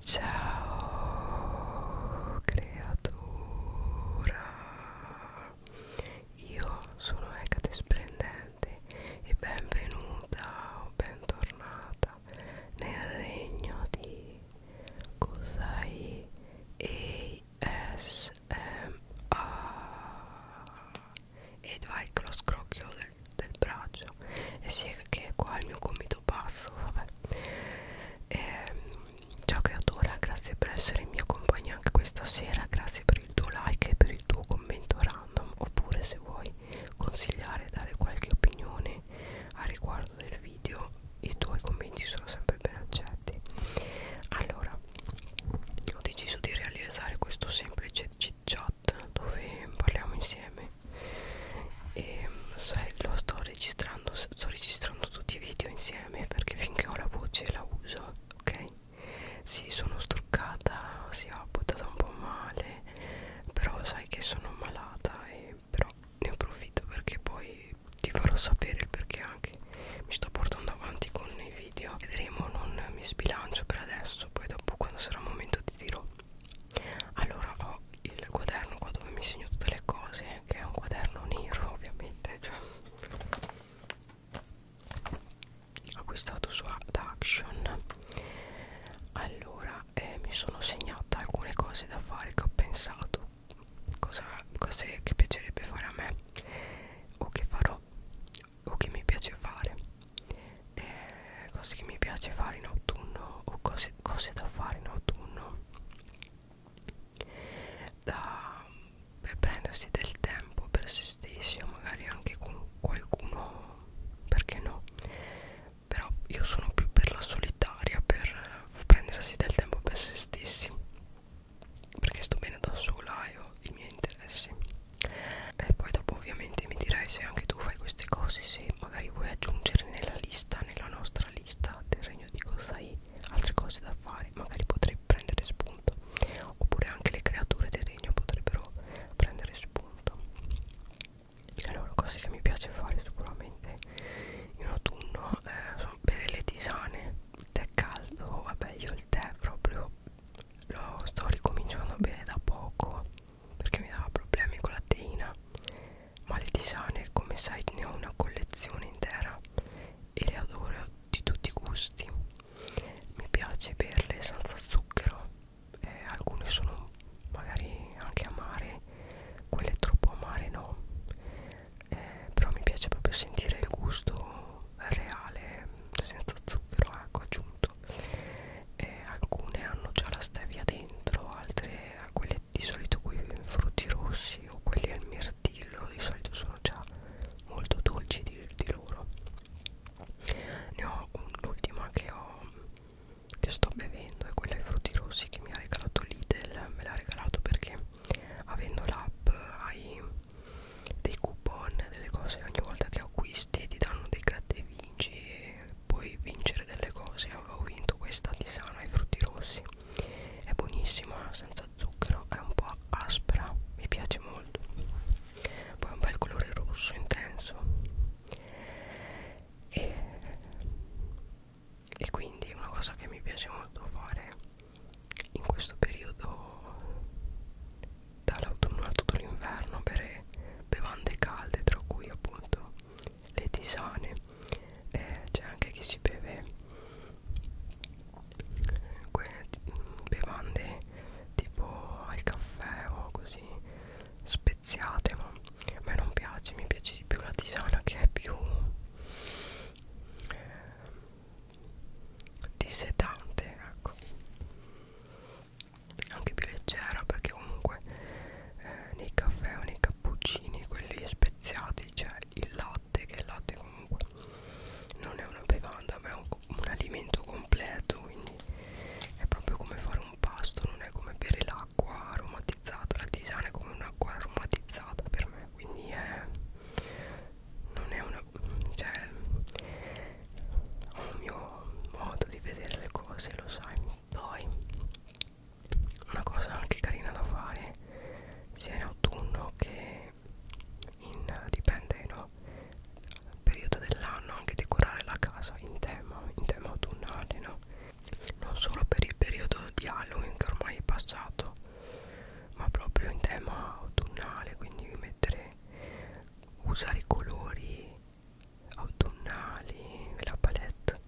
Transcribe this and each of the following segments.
Ciao creatura, io sono Ecate Splendente e benvenuta o bentornata nel regno di Kusai ASMR. Ed vai con lo scrocchio del, del braccio e sì che qua il mio gomito basso vabbè e, ehm, ciao creatura grazie per essere in mia compagnia anche questa sera grazie per il tuo like e per il tuo commento random oppure se vuoi consigliare dare qualche opinione a riguardo del video i tuoi commenti sono sempre ben accetti allora ho deciso di realizzare questo semplice chit chat chat dove parliamo insieme e sai, lo sto registrando, sto registrando tutti i video insieme perché finché ho la voce la uso, ok? Sì, sono struccata, si sì, ho buttata un po' male, però sai che sono malata e però ne approfitto perché poi ti farò sapere il perché anche mi sto portando avanti con i video vedremo non mi sbilancio per adesso poi dopo quando sarà il momento ti dirò allora ho il quaderno qua dove mi segno tutte le cose che è un quaderno nero ovviamente cioè, acquistato su da Action allora eh, mi sono segnata alcune cose da fare che ho pensato cosa, cose che piacerebbe fare a me o che farò o che mi piace fare eh, cose che mi piace fare in autunno o cose, cose da fare in autunno da, per prendersi del tempo per se stessi o magari anche con qualcuno perché no però io sono più per la solitaria per prendersi del tempo per se stessi perché sto bene da sola e ho i miei interessi e poi dopo ovviamente mi dirai se anche tu fai queste cose se magari vuoi aggiungere nella lista nella nostra lista del regno di Kosai altre cose da fare magari potrei prendere spunto oppure anche le creature del regno potrebbero prendere spunto allora cose che mi piace fare sicuramente in autunno eh, sono bere le tisane tè caldo vabbè io il tè proprio lo sto ricominciando a bere da poco perché mi dava problemi con la teina ma le tisane come sai ne ho una collezione intera e le adoro di tutti i gusti mi piace berle senza zucchero eh, alcune sono magari anche amare quelle troppo amare no eh, però mi piace proprio sentire il gusto reale senza zucchero ecco aggiunto eh, alcune hanno già la stevia dentro altre a quelle di solito quei frutti rossi o quelli al mirtillo di solito sono già molto dolci di, di loro ne ho l'ultima che ho che sto bevendo è quella ai frutti rossi che mi ha regalato Lidl me l'ha regalato perché avendo l'app hai dei coupon delle cose ogni volta che acquisti ti danno dei gratta e vinci e puoi vincere delle cose avevo vinto questa tisana ai frutti rossi è buonissima senza zucchero è un po' aspra mi piace molto poi ha un bel colore rosso intenso e, e quindi una cosa che mi piace molto fare in questo periodo dall'autunno a tutto l'inverno per bevande calde tra cui appunto le tisane eh, c'è anche chi si beve bevande tipo al caffè o così speziate ma a me non piace mi piace di più la tisana che è più eh, dissetante ecco anche più leggera perché comunque eh, nei caffè o nei cappuccini quelli speziati c'è cioè il latte che il latte comunque non è una bevanda ma è un, un alimento completo quindi è proprio come fare un pasto non è come bere l'acqua aromatizzata la tisana è come un'acqua aromatizzata per me quindi è non è una cioè ho un mio modo di vedere le cose lo sai poi una cosa anche carina da fare sia in autunno che in dipende no periodo dell'anno anche decorare la casa in tema in tema autunnale no non solo per il periodo di Halloween che ormai è passato ma proprio in tema autunnale quindi mettere usare i colori autunnali la palette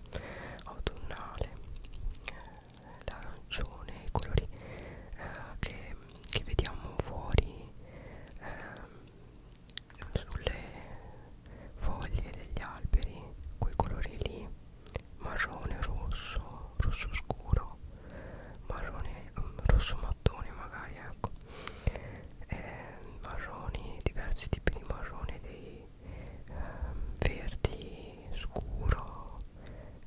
autunnale l'arancione i colori eh, che, che vediamo fuori eh, sulle foglie degli alberi quei colori lì marrone rosso rosso scuro marrone mm, rosso mattone magari ecco eh, marroni, diversi tipi di marrone, dei ehm, verdi scuro,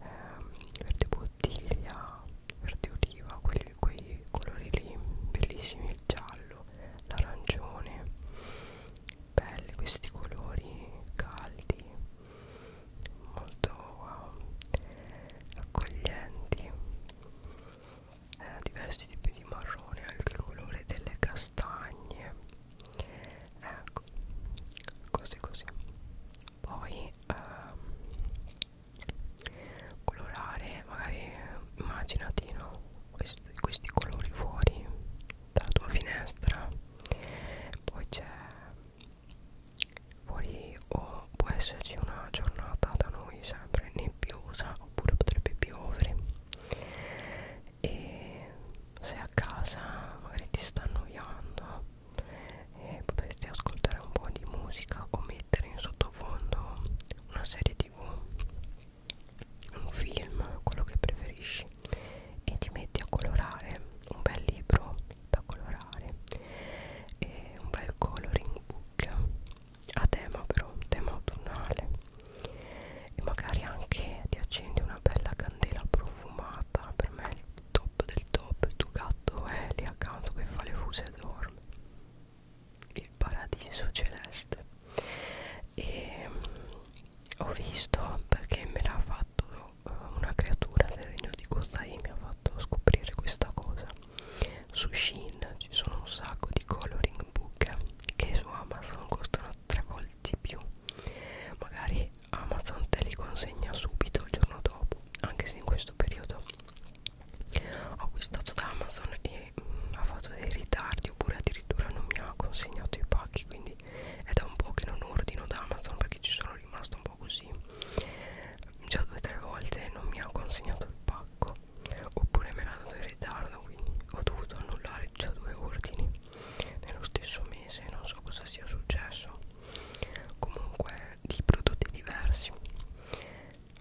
ehm, verde bottiglia, verde oliva, quelli, quei colori lì bellissimi, il giallo, l'arancione, belli questi colori caldi, molto wow, ehm, accoglienti eh, diversi tipi di marrone anche il colore delle castagne ecco così così poi ehm, colorare magari eh, immaginati no? questi, questi colori fuori dalla tua finestra poi c'è fuori o può esserci una giornata da noi sempre nebbiosa oppure potrebbe piovere e se a casa magari ti sta annoiando eh, potresti ascoltare un po' di musica o mettere in sottofondo una serie tv un film quello che preferisci e ti metti a colorare un bel libro da colorare e un bel coloring book look a tema però un tema autunnale e magari anche ti accendi una bella candela profumata per me è il top del top il tuo gatto è lì accanto che fa le fuse e dorme il paradiso celeste e um, ho visto perché me l'ha fatto eh, una creatura del regno di Kozai mi ha fatto scoprire questa cosa su Shein ci sono un sacco di coloring book che su Amazon costano tre volte di più magari Amazon te li consegna subito il giorno dopo anche se in questo periodo ho acquistato da Amazon e mh, mm, ha fatto dei ritardi oppure addirittura non mi ha consegnato i pacchi quindi è da un po' che non ordino da Amazon perché ci sono rimasto un po' po' così già due o tre volte non mi ha consegnato il pacco oppure me l'ha dato in ritardo quindi ho dovuto annullare già due ordini nello stesso mese non so cosa sia successo comunque di prodotti diversi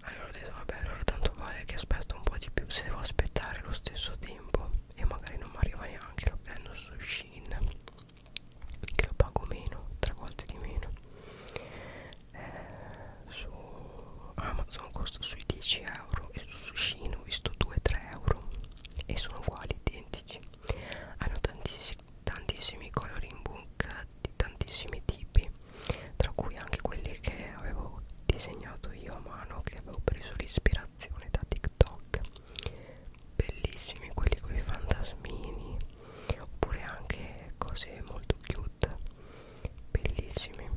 allora ho detto vabbè allora tanto vale che aspetto un po' di più se devo aspettare lo stesso tempo e magari non mi arriva neanche lo prendo su Shein che la pago meno tre volte di meno eh, su Amazon costa sui 10 euro e su Sushin ho visto 2-3 euro e sono uguali identici hanno tantissimi, tantissimi coloring book di tantissimi tipi tra cui anche quelli che avevo disegnato io a mano che avevo preso l'ispirazione da TikTok bellissimi quelli con i fantasmini oppure anche cose molto cute bellissime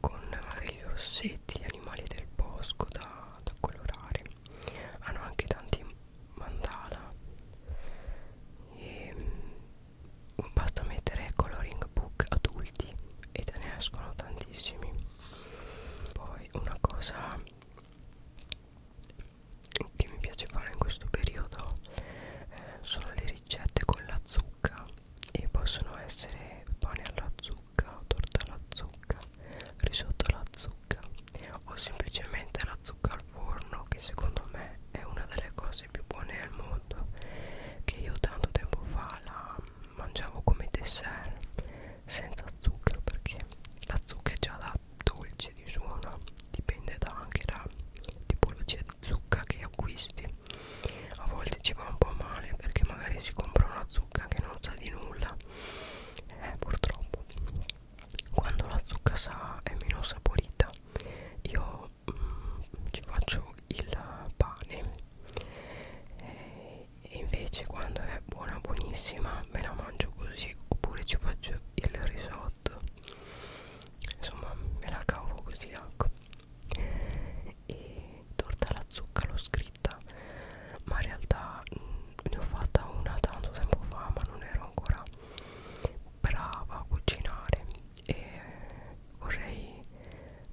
con vari rossetti gli animali del bosco da, da colorare hanno anche tanti mandala e mm, basta mettere coloring book adulti e te ne escono tantissimi poi una cosa che mi piace fare in questo periodo eh, sono le ricette con la zucca e possono essere pane alla zucca, torta alla zucca, risotto alla zucca o semplicemente la zucca al forno che secondo me è una delle cose più buone al mondo che io tanto tempo fa la mangiavo come dessert senza zucchero perché la zucca è già da dolce di suono dipende da anche la tipologia di zucca che acquisti a volte ci va un po' male perché magari si compra una zucca che non sa di nulla eh, purtroppo quando la zucca sa è meno saporita io mm, ci faccio il pane e invece quando è è buona buonissima me la mangio così oppure ci faccio il risotto insomma me la cavo così ecco e torta alla zucca l'ho scritta ma in realtà mh, ne ho fatta una tanto tempo fa ma non ero ancora brava a cucinare e vorrei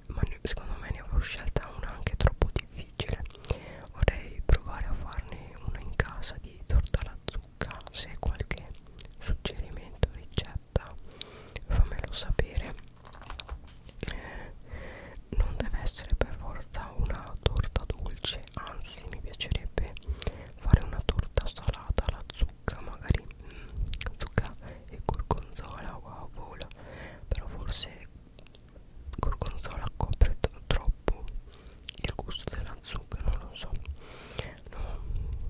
ma ne, secondo me ne avevo scelta una anche troppo difficile vorrei provare a farne una in casa di torta alla zucca se qualche suggerimento ricetta fammelo sapere eh, non deve essere per forza una torta dolce anzi mi piacerebbe fare una torta salata alla zucca magari mm, zucca e gorgonzola wow vola però forse gorgonzola copre troppo il gusto della zucca non lo so no,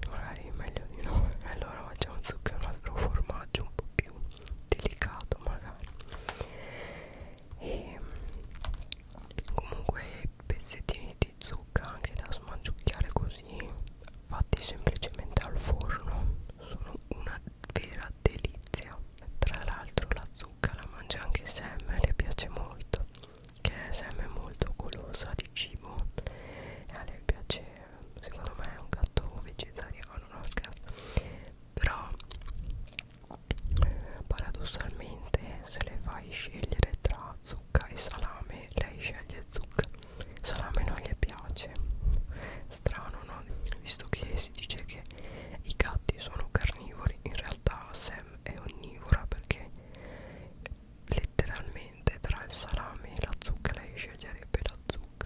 magari è meglio di no allora facciamo zucca un altro formaggio un po' più delicato magari e comunque pezzettini di zucca anche da smangiucchiare così fatti semplicemente al forno sono una vera delizia tra l'altro la zucca la mangia anche Sam e le piace molto Che Sam è molto golosa di cibo E a lei piace, secondo me è un gatto vegetariano, no scherzo Però eh, paradossalmente se le fai scegliere tra zucca e salame Lei sceglie zucca Salame non le piace Strano no? Visto che si dice che i gatti sono carnivori carnivori in realtà Sam è onnivora perché letteralmente tra il salame e la zucca lei sceglierebbe la zucca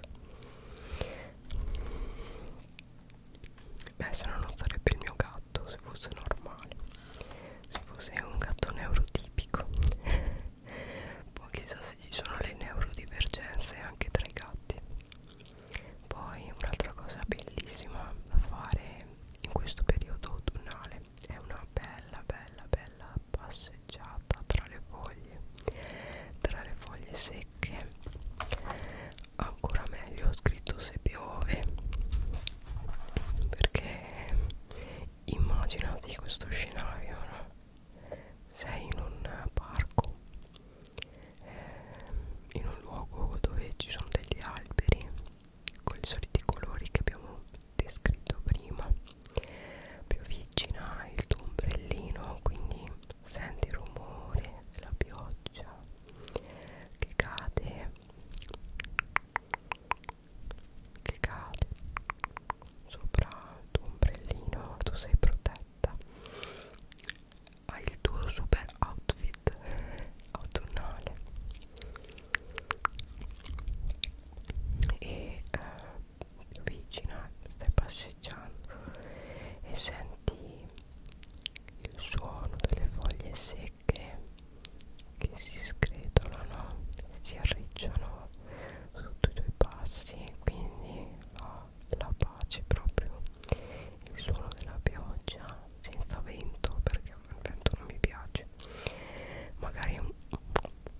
beh se no non sarebbe il mio gatto se fosse normale se fosse un gatto neurotipico poi chissà se ci sono le neurodivergenze anche tra i gatti poi un'altra cosa bellissima da fare in questo periodo autunnale è una bella bella bella passeggiata tra le foglie, tra le foglie secche, ancora meglio ho scritto se piove, perché immaginati questo scenario, no? Sei in un parco eh, in un luogo dove ci sono degli alberi con i soliti colori che abbiamo descritto prima più vicina il tuo ombrellino quindi senti il rumore della pioggia che cade che cade sopra il tuo ombrellino tu sei protetta hai il tuo super outfit autunnale e eh, vicina stai passeggiando e senti il suono delle foglie secche che si scretolano si arricciano sotto i tuoi passi quindi la oh, la pace proprio il suono della pioggia senza vento perché il vento non mi piace magari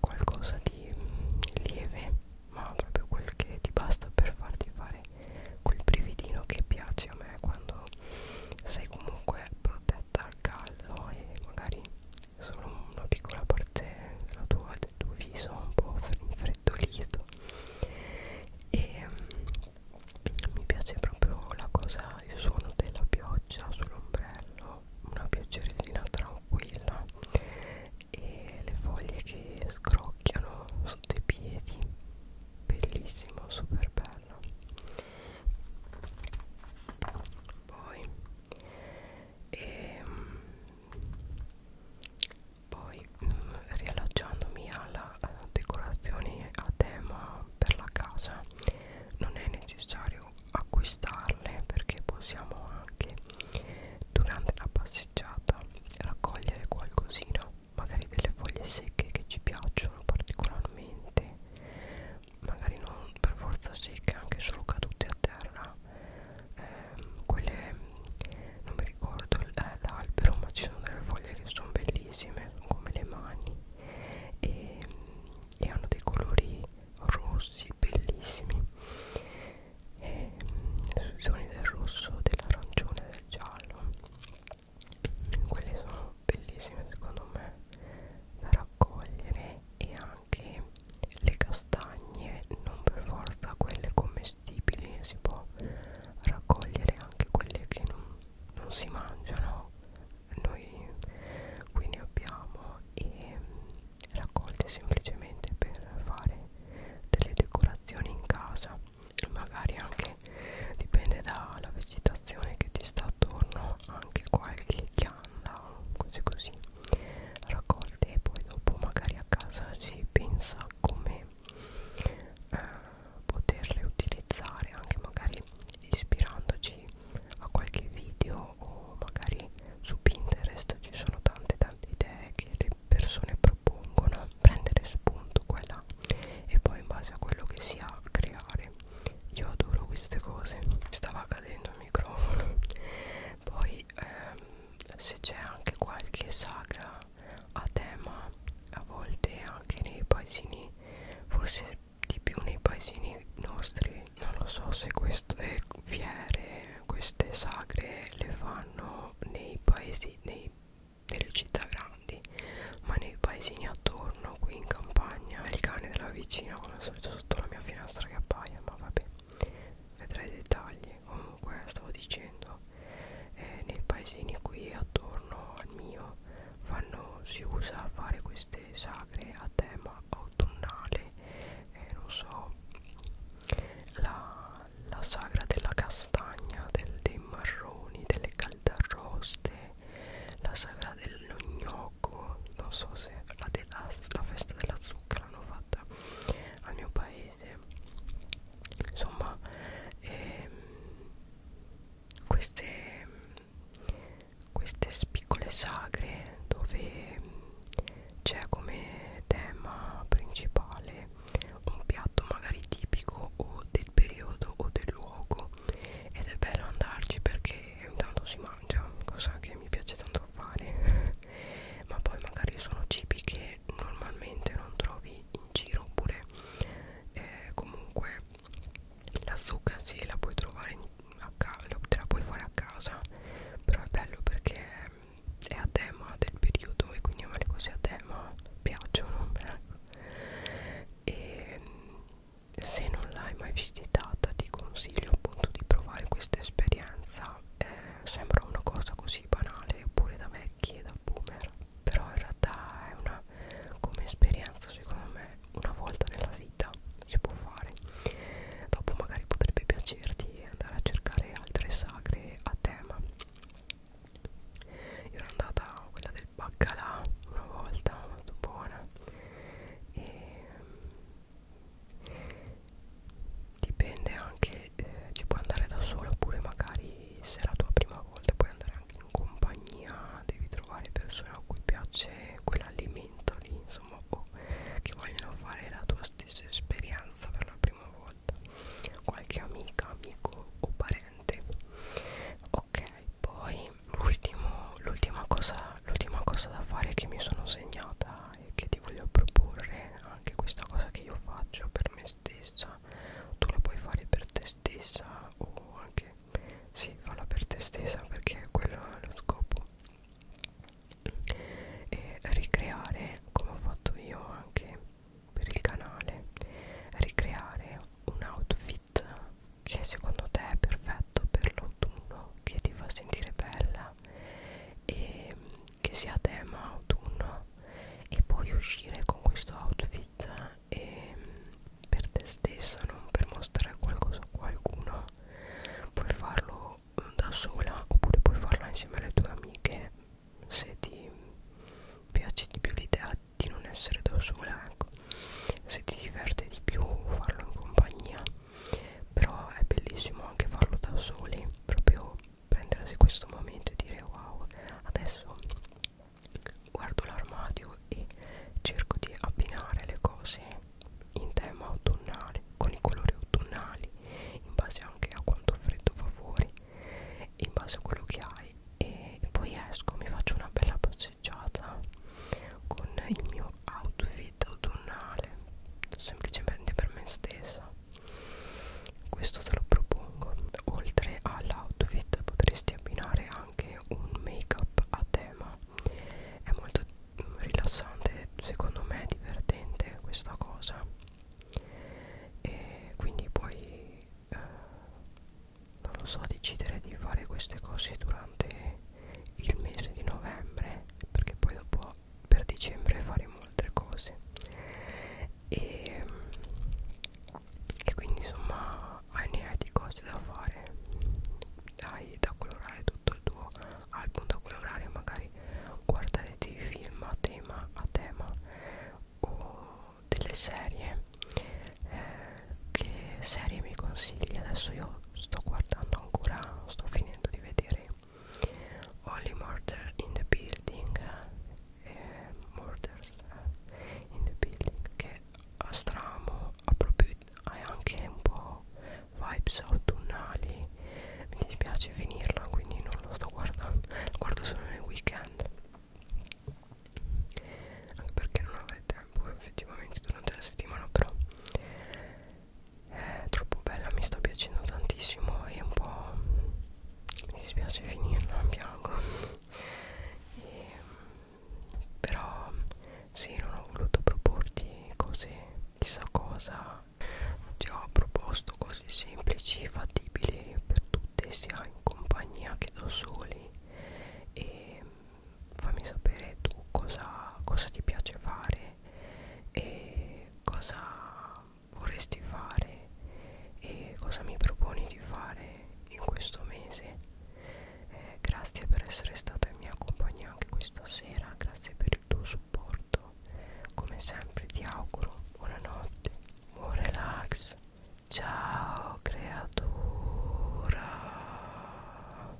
qualcosa di mm, lieve ma proprio quel che ti basta per farti fare quel brividino che piace a me quando sei comunque protetta al caldo e magari solo una piccola parte della tua, del tuo viso un po' infreddito freddolito e um, mi piace proprio la cosa il suono della pioggia sull'ombrello una pioggerellina tranquilla e le foglie che scrocchiano sotto i piedi bellissimo super bello poi e, ehm, poi mh, mm, riallacciandomi alla uh, eh, decorazione a tema per la casa non è necessario acquistarle perché possiamo anche durante la passeggiata raccogliere qualcosina magari delle foglie secche che ci piacciono particolarmente magari non per forza secche anche solo cadute a terra ehm, quelle non mi ricordo eh, l'albero ma ci sono delle foglie che sono bellissime sono come le mani e, e hanno dei colori rossi bellissimi e, sui toni del rosso dell'arancione del giallo quelle sono bellissime secondo me da raccogliere e anche le castagne non per forza quelle come commestibili si può raccogliere anche quelle che non, non si mangiano noi qui ne abbiamo e mm, raccolte semplicemente per fare delle decorazioni in casa magari anche dipende dalla vegetazione che ti sta attorno anche qualche chianda cose così raccolte e poi dopo magari a casa si pensa come eh, poterle utilizzare anche magari ispirandoci a qualche video o magari su Pinterest ci sono tante tante idee che le persone propongono prendere spunto qua e là e poi in base a quello che si ha creare io adoro queste cose stava cadendo il microfono poi ehm, se c'è anche qualche sagra a tema a volte anche nei paesini forse di più nei paesini nostri non lo so se queste fiere queste sagre le fanno nei paesi nei, nelle città grandi ma nei paesini attorno qui in campagna il cane della vicina come al solito sotto la mia finestra che appaia ma vabbè vedrai i dettagli comunque stavo dicendo eh, nei paesini qui attorno al mio fanno, si usa fare queste sagre a tema autunnale eh, non so la, la sagra della castagna del, dei marroni delle caldaroste la sagra dello gnocco non so se la, della, la festa della zucca l'hanno fatta al mio paese mese insomma ehm, queste, queste piccole sagre dove c'è come tema principale un piatto magari tipico o del periodo o del luogo ed è bello andarci perché intanto si mangia cosa che mi piace tanto a fare ma poi magari sono cibi che normalmente non trovi in giro oppure eh, comunque la zucca sì la puoi trovare in, a casa te la puoi fare a casa però è bello perché è a tema del periodo e quindi a me le cose a tema piacciono ecco. e se non l'hai mai visitata ti consiglio appunto di provare questa esperienza eh, sembra una cosa così banale oppure da vecchi e da boomer però in realtà è una come esperienza secondo me una volta nella vita si può fare dopo magari potrebbe piacerti andare a cercare altre sagre a tema io ero andata a quella del baccalà una volta molto buona e dipende anche eh, ci puoi andare da sola oppure magari se è la tua prima volta puoi andare anche in compagnia devi trovare persone a cui piace quell'alimento lì insomma o che vogliono fare la tua stessa esperienza per la prima volta qualche amica amico o parente ok poi l'ultima cosa l'ultima cosa da fare che mi sono segnata e che ti voglio proporre anche questa cosa che io faccio per me stessa tu la puoi fare per te stessa o anche sì falla per te stessa perché quello è lo scopo e ricreare come ho fatto io anche per il canale ricreare un outfit che secondo te è perfetto per l'autunno che ti fa sentire bella e che sia tema autunno e poi uscire con questo outfit e per te stessa non per mostrare qualcosa a qualcuno puoi farlo mm, da sola oppure puoi farlo insieme alle tue amiche se ti piace di più l'idea di non essere da sola ecco se ti diverte di più farlo in compagnia però è bellissimo anche farlo da soli proprio prendersi questo momento e dire wow adesso guardo l'armadio e cerco di abbinare le cose in tema autunnale con i colori autunnali in base anche a quanto freddo fa fuori in base a quello che hai e poi esco mi faccio una bella passeggiata con il mio outfit autunnale semplicemente per me stessa questo te lo propongo oltre all'outfit potresti abbinare anche un make up a tema è molto rilassante secondo me è divertente questa cosa e quindi puoi eh, non lo so decidere di fare queste cose durante il mese di novembre perché poi dopo per dicembre faremo altre cose e, e quindi insomma hai ne hai di cose da fare hai da colorare tutto il tuo album da colorare magari guardare dei film a tema, a tema o delle serie eh, che serie mi consigli adesso io sto guardando ancora sto finendo di vedere Only Murder in the Building eh, Murders eh, in the Building che a stramo ha proprio ha anche un po' vibes autunnali mi dispiace finirla quindi non lo sto guardando lo guardo solo nel weekend anche perché non avrei tempo effettivamente durante la settimana però è troppo bella mi sta piacendo tantissimo e un po' mi dispiace finirla piango e, però sì non ho voluto proporti cose chissà cosa ti ho proposto cose semplici fattibili per tutte sia in compagnia che da soli e fammi sapere tu cosa, cosa ti piace fare e cosa vorresti fare e cosa mi proponi di fare in questo mese eh, grazie per essere stata in mia compagnia anche questa sera grazie per il tuo supporto come sempre ti auguro buonanotte buon relax ciao creatura